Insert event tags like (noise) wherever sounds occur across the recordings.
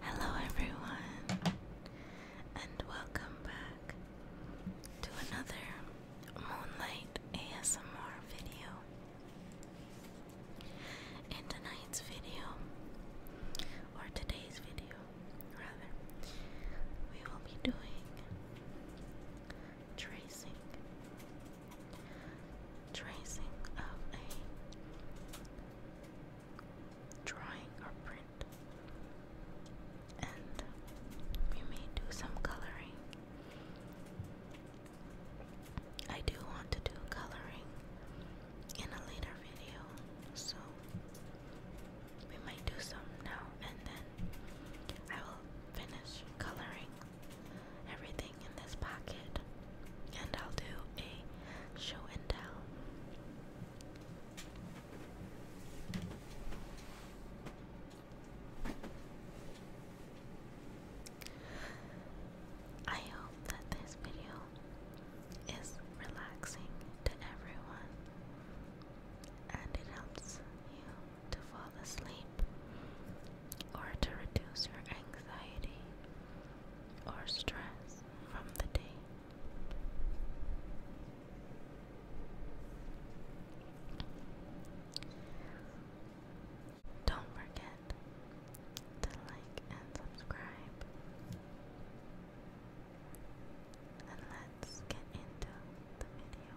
Hello, everyone, and welcome back to another Moonlight ASMR video. In tonight's video, or today's video, rather, we will be doing tracing tracing of a drawing or print, and we may do some coloring. I do want to do coloring in a later video, so we might do some now and then. I will finish coloring everything in this pocket, and I'll do a show and tell. I hope that this video is relaxing to everyone and it helps you to fall asleep or to reduce your anxiety or stress from the day. Don't forget to like and subscribe. And let's get into the video.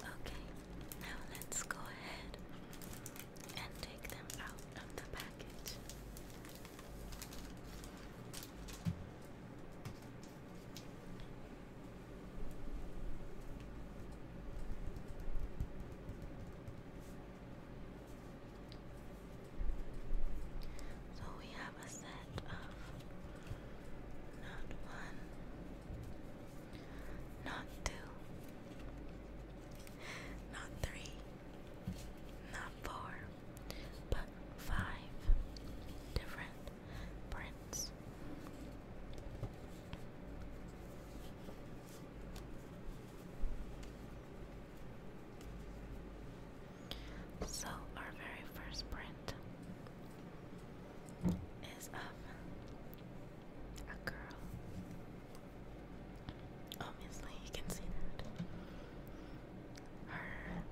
Okay, now let's go ahead and take them out of the package. So we have a set of not one, not two, not three, not four, but five different prints. So, our very first print is of a girl. Obviously, you can see that. Her,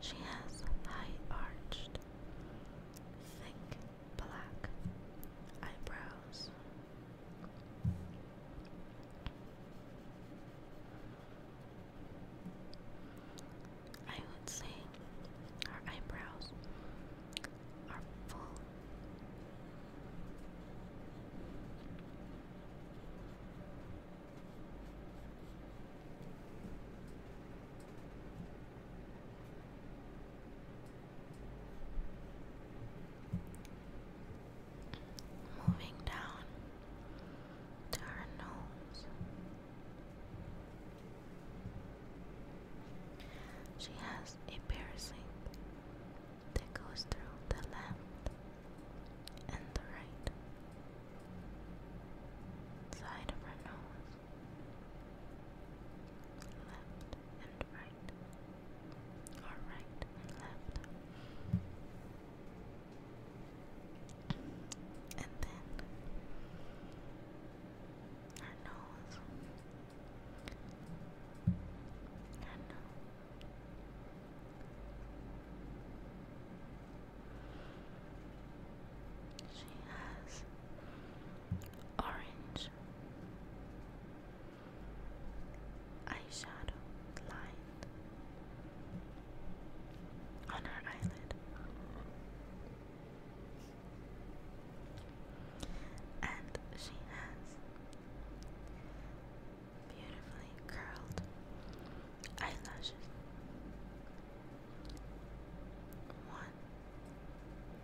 she has high arched, thick black eyebrows. I would say our eyebrows are full. Moving down to her nose. She has a piercing that goes through the left and the right side of her nose left and right, or right and left, and then her nose, her nose. She has orange eyeshadow line on her eyelid and she has beautifully curled eyelashes one one,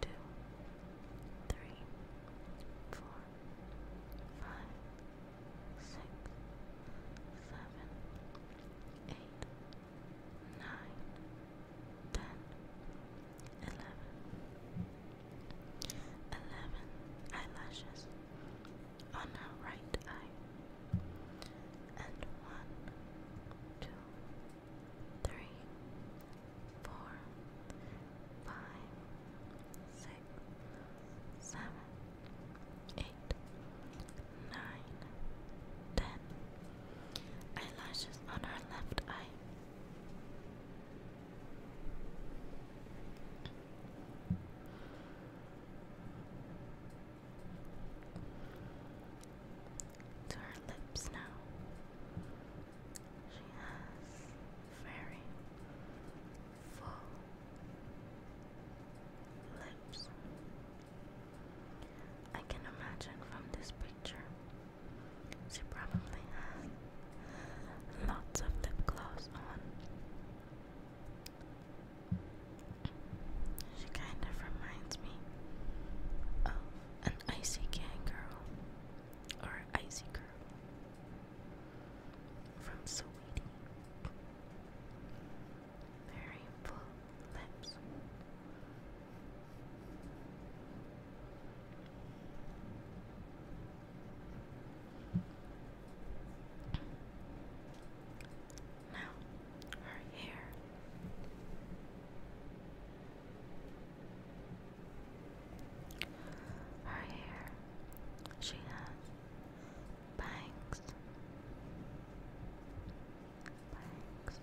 two, three, four, five, six, seven, eight, nine, ten, eleven, eleven eyelashes on her right eye, and one, two three, four, five, six, seven, eight, nine, ten. Eyelashes on her left eye. To her lips now. She has very full lips. I can imagine from this picture she probably has lots of lip gloss on. She kind of reminds me of an icy gang girl or Icy Girl from Sweetie. Very full lips. Now, her hair. Her hair, she has bangs. Bangs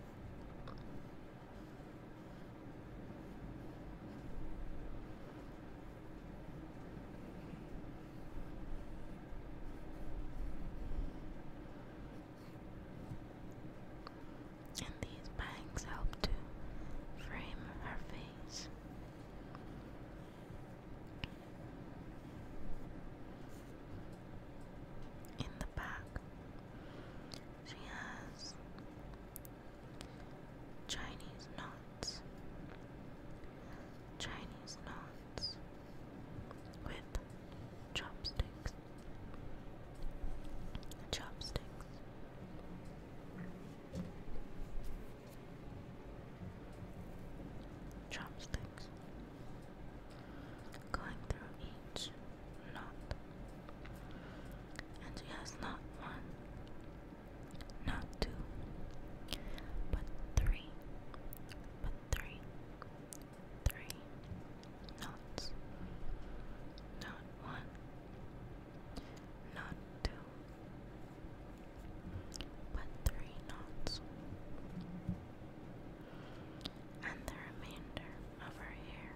and these bangs help to frame her face. In the back, she has Chinese knots, Chinese knots with chopsticks. Chopsticks. Chopsticks. Going through each knot. And she has not one, not two, but three, but three, three, knots. Not one, not two, but three knots. And the remainder of her hair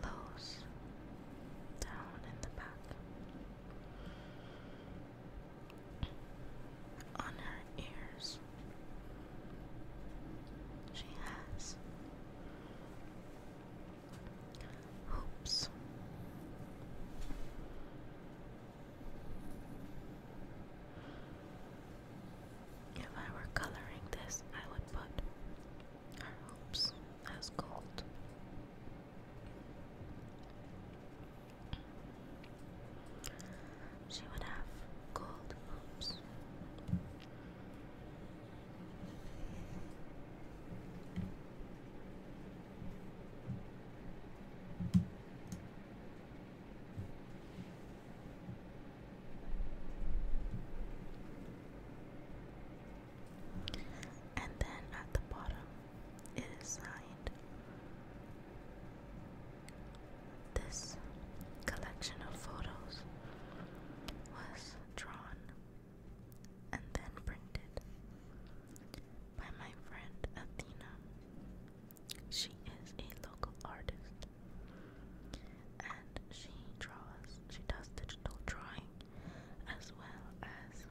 flows down in the back. On her ears, she has Oops. If I were coloring this, I would put her hopes as gold. She would have gold hopes. And then at the bottom, it is signed This collection of photos was drawn, and then printed by my friend Athena. She is a local artist and she draws, she does digital drawing as well as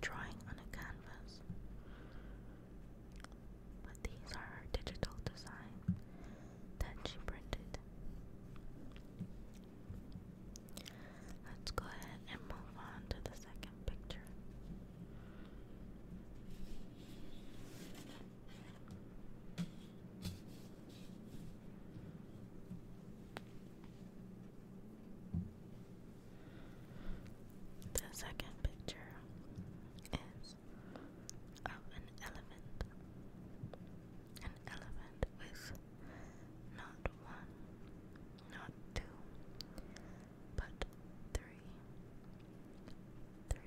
drawing on a canvas. But these are her digital design that she printed. Let's go ahead and move on to the second picture. The second picture is of oh, an elephant. An elephant with not one, not two, but three, three, three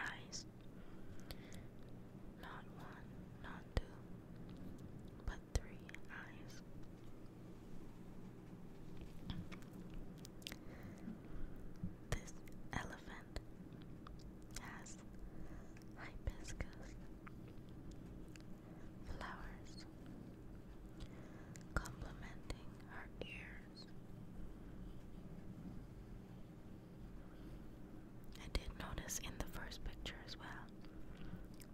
eyes. Not one, not two, but three eyes. This elephant has hibiscus flowers complementing her ears. I did notice in the first picture as well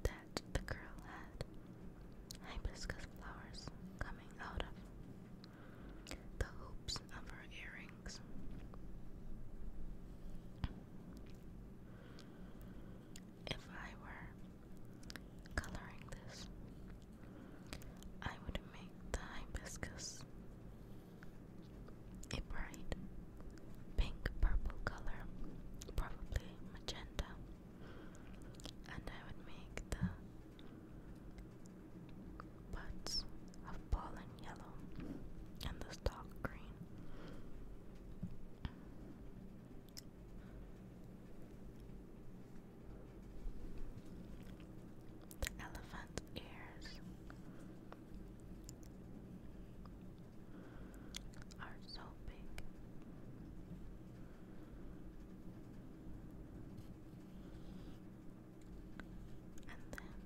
that the girl had hibiscus flowers coming out of the hoops of her earrings. If I were coloring this, I would make the hibiscus a bright pink purple color, probably magenta, and I would make the Buds of pollen yellow and the stalk green. The elephant's ears are so big and then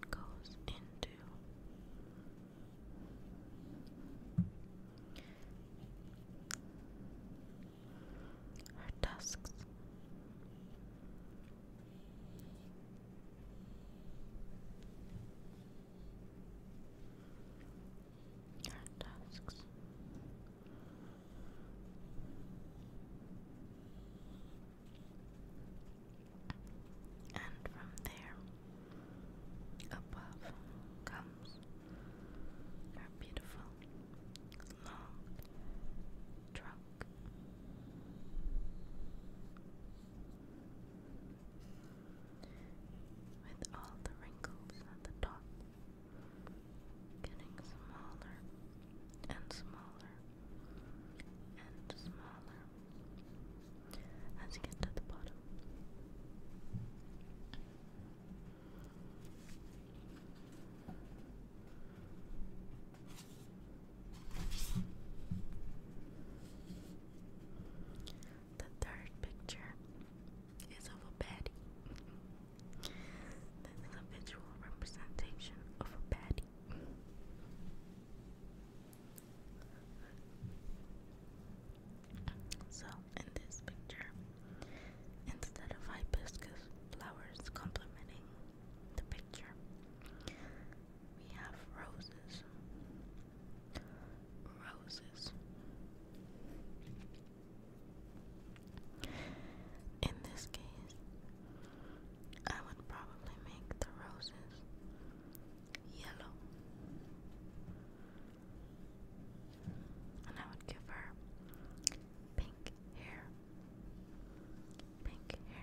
it goes into our tusks our tasks. And from there, above comes our beautiful long trunk. With all the wrinkles at the top getting smaller and smaller and smaller as you get to the bottom. The third picture is of a bed. (laughs) This is a visual representation of a patty. So, in this picture, instead of hibiscus flowers complementing the picture, we have roses. Roses. In this case, I would probably make the roses yellow. And I would give her pink hair. Pink hair.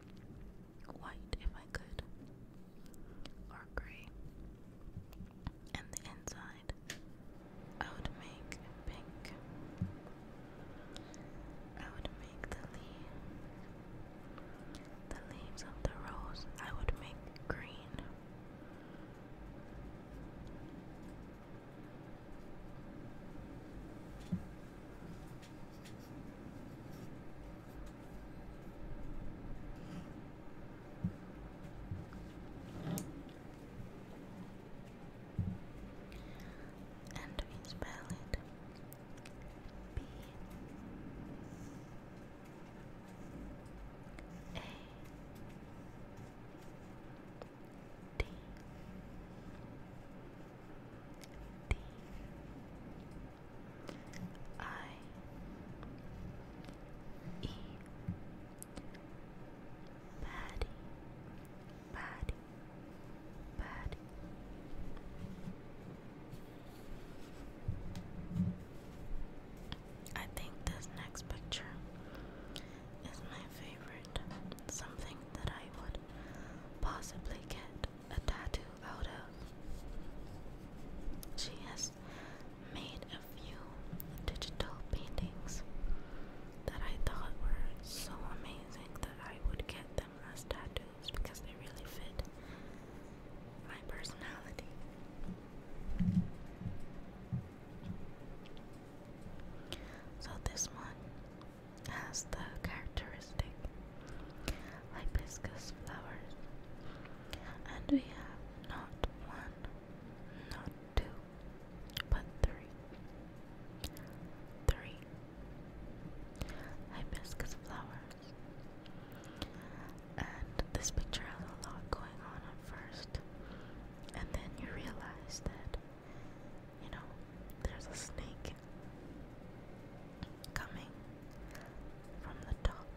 white if I could, or gray. And the inside, I would make pink. I would make the leaves, the leaves of the rose. I would make green. And we spell it B A D D I E Patty Patty Patty I think this next picture is my favorite. Something that I would possibly get a tattoo out of. She has made a few digital paintings that I thought were so amazing that I would get them as tattoos because they really fit my personality. So this one has the characteristic hibiscus flowers, and we have not one, not two, but three. Three hibiscus flowers, and this picture has a lot going on at first, and then you realize that you know there's a snake coming from the top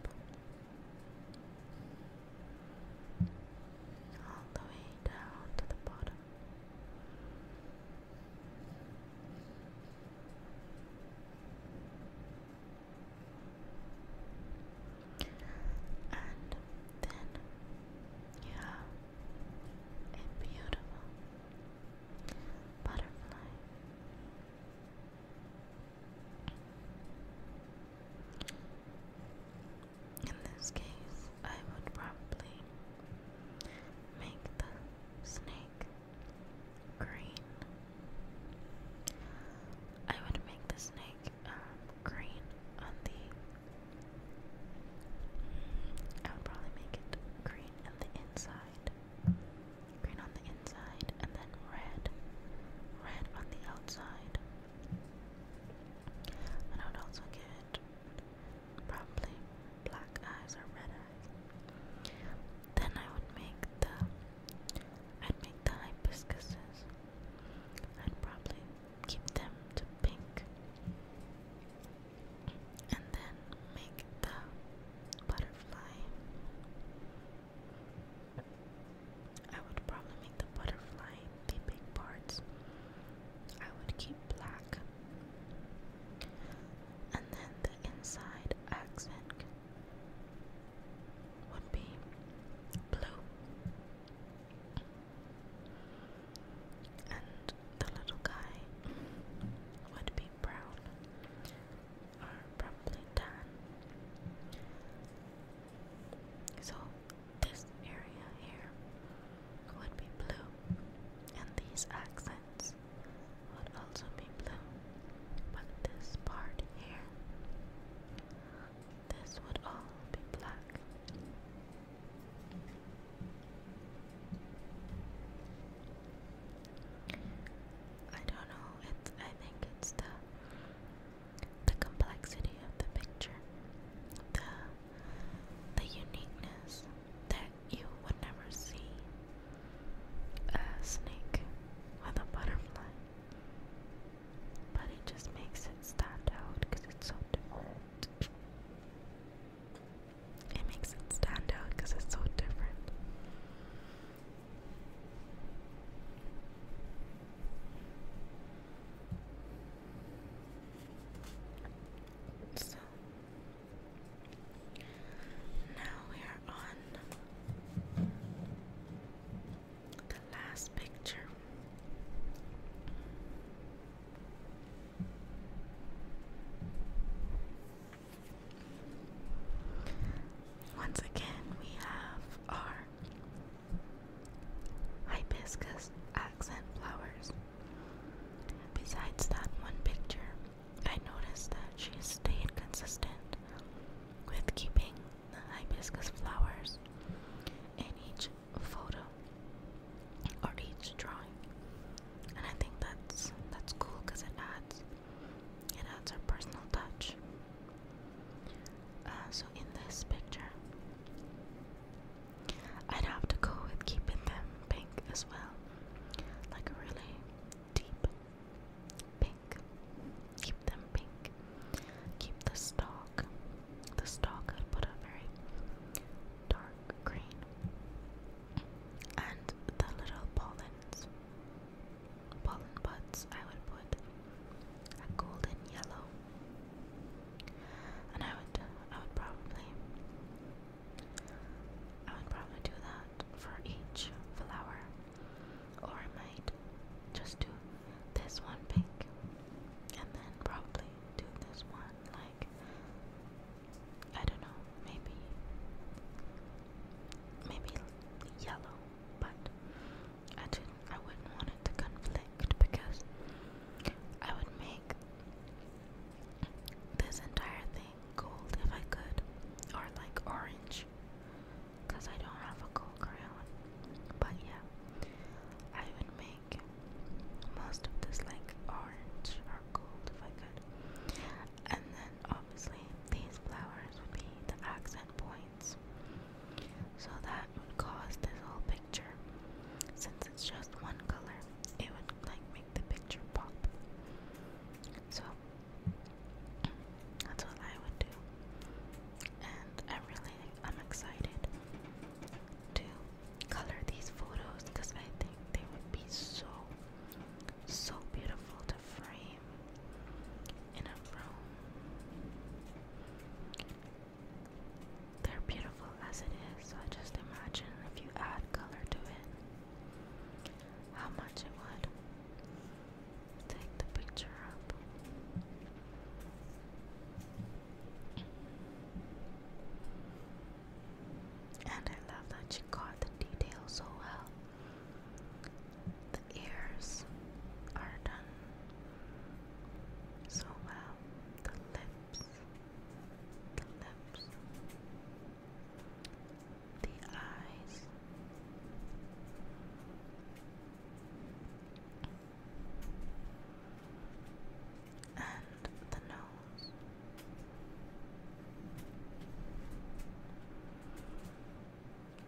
all the way down to the bottom. And then you a beautiful butterfly in this case, I would probably make the snake green. I would make the snake um, green on the. I would probably make it green on the inside green on the inside, and then red, red on the outside. I would also give probably black eyes or red eyes. Then I would make the, I'd make the hibiscuses. I'd probably keep them to pink. And then make the butterflies. I would probably make the butterfly the big parts. I would keep black. And then the inside accent would be blue. And the little guy would be brown are probably done. So this area here would be blue, and these accents would also be blue. But this part here, this would all be black. I don't know. It's I think it's the the complexity of the picture, the the uniqueness that you would never see a snake with a butterfly, but it just makes it stand out because it's so different. It makes it stand out because it's so different. So now we are on the last picture. Once again, we have our hibiscus accent flowers. Besides that one picture, I noticed that she stayed consistent with keeping the hibiscus flowers in each photo or each drawing. And I think that's that's cool because it adds it adds our personal touch. Uh, so in this picture, I'd have to go with keeping them pink as well, like a really deep pink. Keep them pink. Keep the stalk. The stalk I'd put a very dark green, and the little pollens pollen buds, I would put a golden yellow, and I would, I would probably, I would probably do that for each flower, or I might just do this one pink, and then probably do this one like. I don't know, maybe maybe yellow, but I didn't. I wouldn't want it to conflict because I would make this entire thing gold if I could, or like orange, because I don't have a gold crayon. But yeah, I would make most of this like orange or gold if I could. And then obviously these flowers would be the accent points. So that would cause this whole picture. Since it's just one color, it would like make the picture pop. So that's what I would do. And I'm really I'm excited to color these photos because I think they would be so so beautiful to frame in a room. They're beautiful as it is, so I just imagine if you add color to it, how much it would take the picture up. And I love that you caught the details so well. The ears are done so well. The lips, the lips, the eyes. And the nose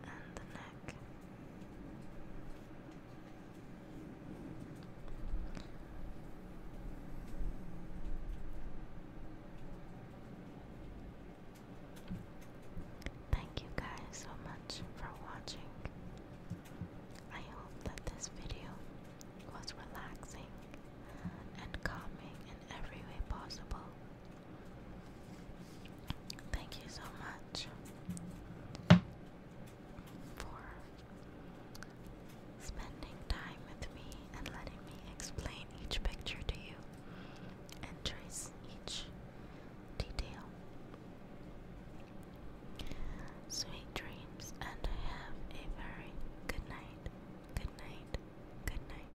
and the neck. Thank you guys so much for watching. I hope that this video was relaxing and calming in every way possible. Thank you so much for spending time with me and letting me explain each picture to you and trace each detail. Sweet dreams, and have a very good night. Good night. Good night.